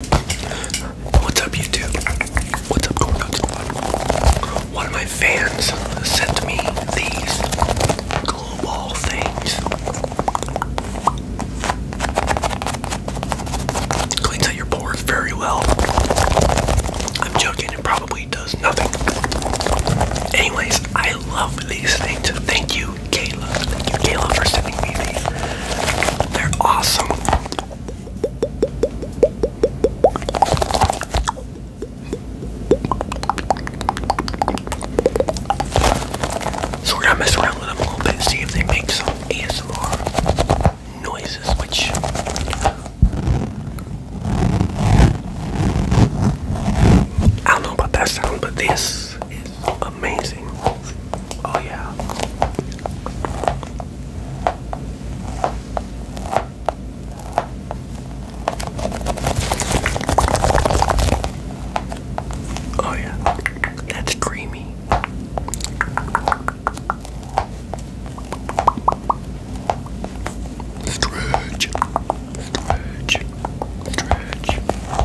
What's up, YouTube? What's up, Cornut Squad? One of my fans sent me these glue ball things. Cleans out your pores very well. I'm joking, it probably does nothing. Anyways, I love these things. Thank you, Kayla. Thank you, Kayla, for sending me these. They're awesome. So we're gonna mess around with them a little bit, see if they make some ASMR noises, which I don't know about that sound, but this this amazing. Oh, yeah. Oh, yeah. That's creamy. Stretch, stretch, stretch.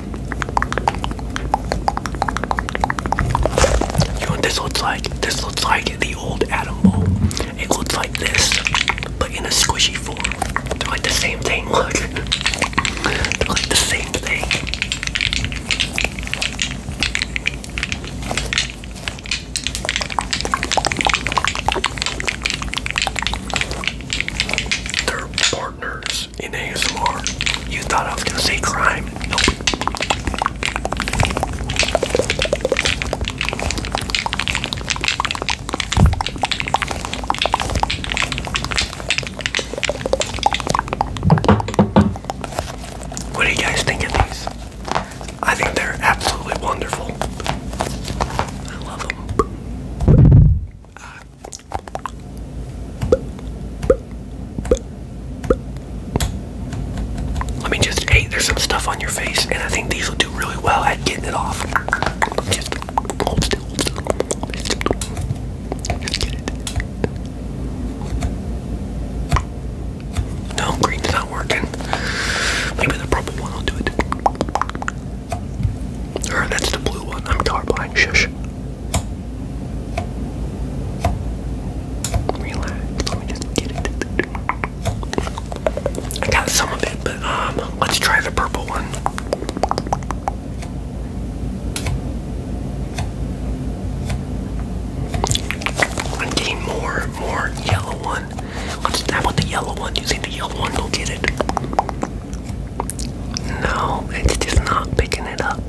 You know this looks like? This looks like the old atom bowl. It looks like this, but in a squishy form. like the same thing, look. like the same thing in ASMR. You thought I was gonna say crime. Nope. What do you guys think of these? I think they're absolutely wonderful. I love them. Uh, I just hey, there's some stuff on your face, and I think these will do really well at getting it off. No, green's not working. Maybe the purple one will do it. Or that's the blue one. I'm colorblind. Shush. Relax. Let me just get it. I got some of it, but um, let's try the purple one. I'm more, more yellow one. Let's how about the yellow one? Do you think the yellow one will get it? No, it's just not picking it up.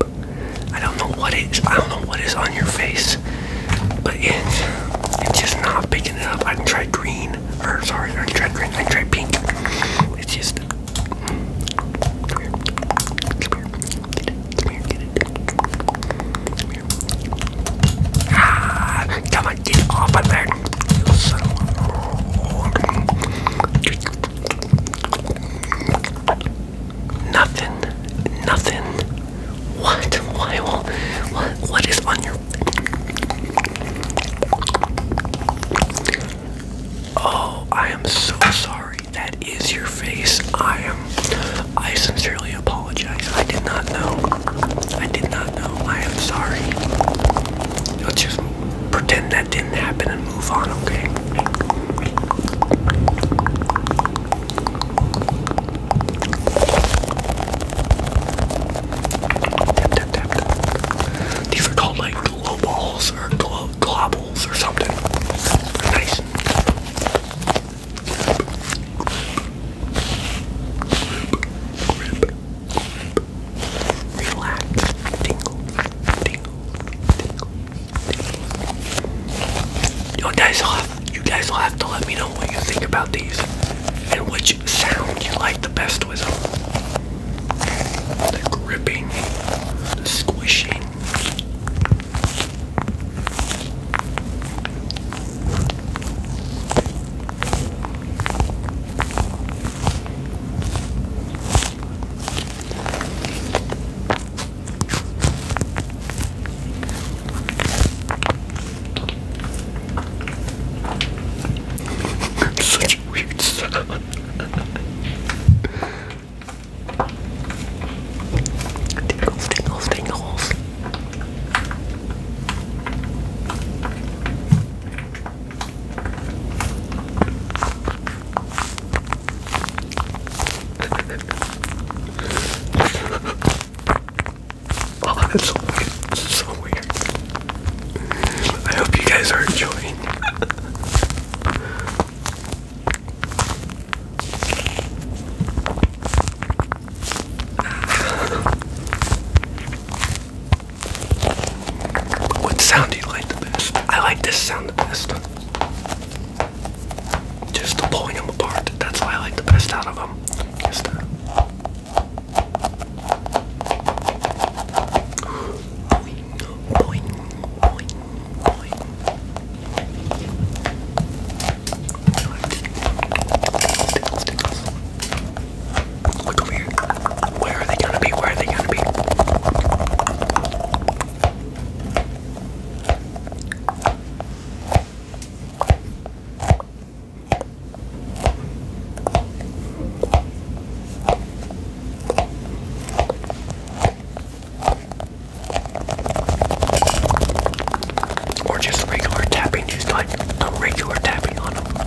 I don't know what I don't know what is on your face, but it's it's just not picking it up. I can try green, or sorry, I can try green. I can try pink. It's just come here, come here, get it, come here, get it, come here. Ah, come on, get off of there. Nothing. Nothing. What? Why what what is on your Oh, I am so sorry. That is your face. I am I sincerely apologize. I did not know. I did not know. I am sorry. Let's pretend that didn't happen and move on, okay? These are called like glow or glow globbles or something. nice relax, tingle, tingle, tingle, tingle. You guys will have, you guys will have to let me know what you think about these and which sound you like the best with them. The gripping, the squishing. Such a weird sound. tingles, tingles, tingles. oh, that's so weird. so weird. I hope you guys are enjoying. What sound do you like the best? I like this sound the best. Just the pulling them apart. That's why I like the best out of them. Just uh, Look over here. Where are they gonna be? Where are they gonna be? Or just regular tapping, just like the regular tapping on them.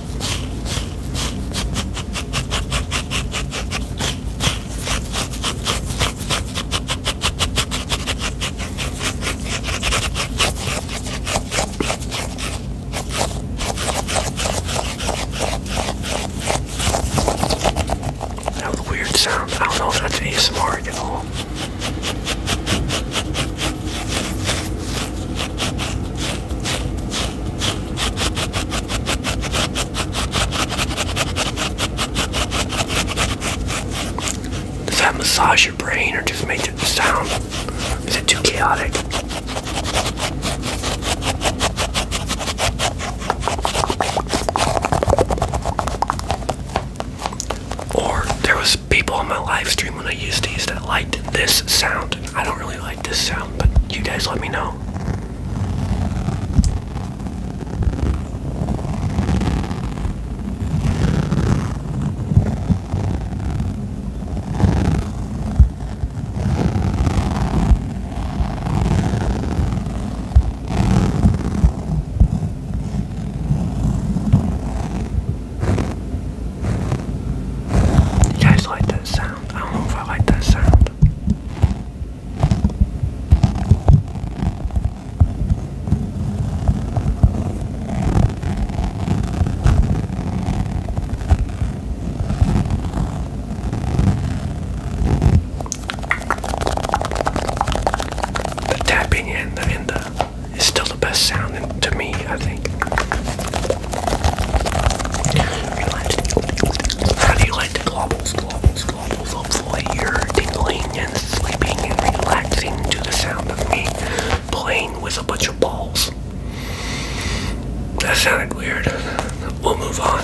That weird sound. I don't know if that's ASMR at all. Does that massage your brain or just make it sound? Is it too chaotic? Or there was people on my livestream when I use these that liked this sound. I don't really like this sound, but you guys let me know. You guys like that sound? I don't know if I like that sound. The tapping in the it's still the best sound to me, I think. How do you like the globbles, Hopefully you're tingling and sleeping and relaxing to the sound of me playing with a bunch of balls. That sounded weird. We'll move on.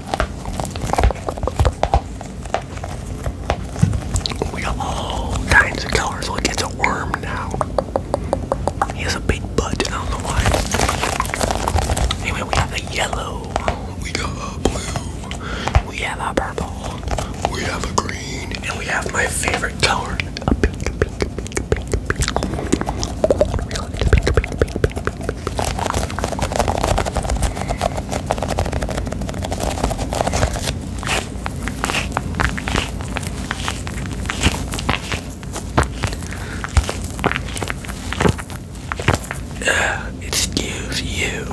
Oh, we got all kinds of colors. Look, it's a worm now. He has a big butt. I don't know why. Anyway, we have a yellow. We got a blue. We have a purple. We have a green. And we have my favorite color, a pink, pink, pink, pink, pink. Really, pink, pink, pink, pink, pink excuse you.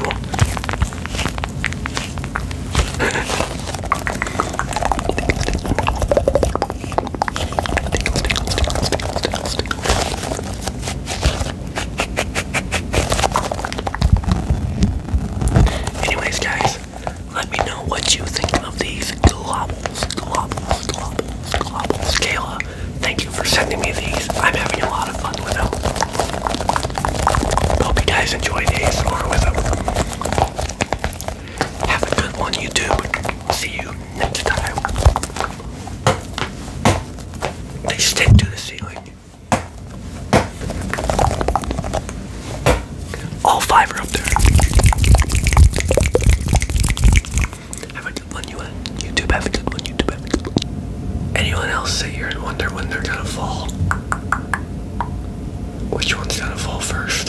Anyways, guys, let me know what you think of these globbles, globbles, globbles, globbles. Kayla, thank you for sending me these. I'm having a lot of fun with them. Hope you guys enjoy enjoyed ASMR with them. Have a good one, YouTube. See you next time. They stick to the ceiling. All five are up there. Have a good one, you YouTube. Have a good one, YouTube. Anyone else sit here and wonder when they're gonna fall? Which one's gonna fall first?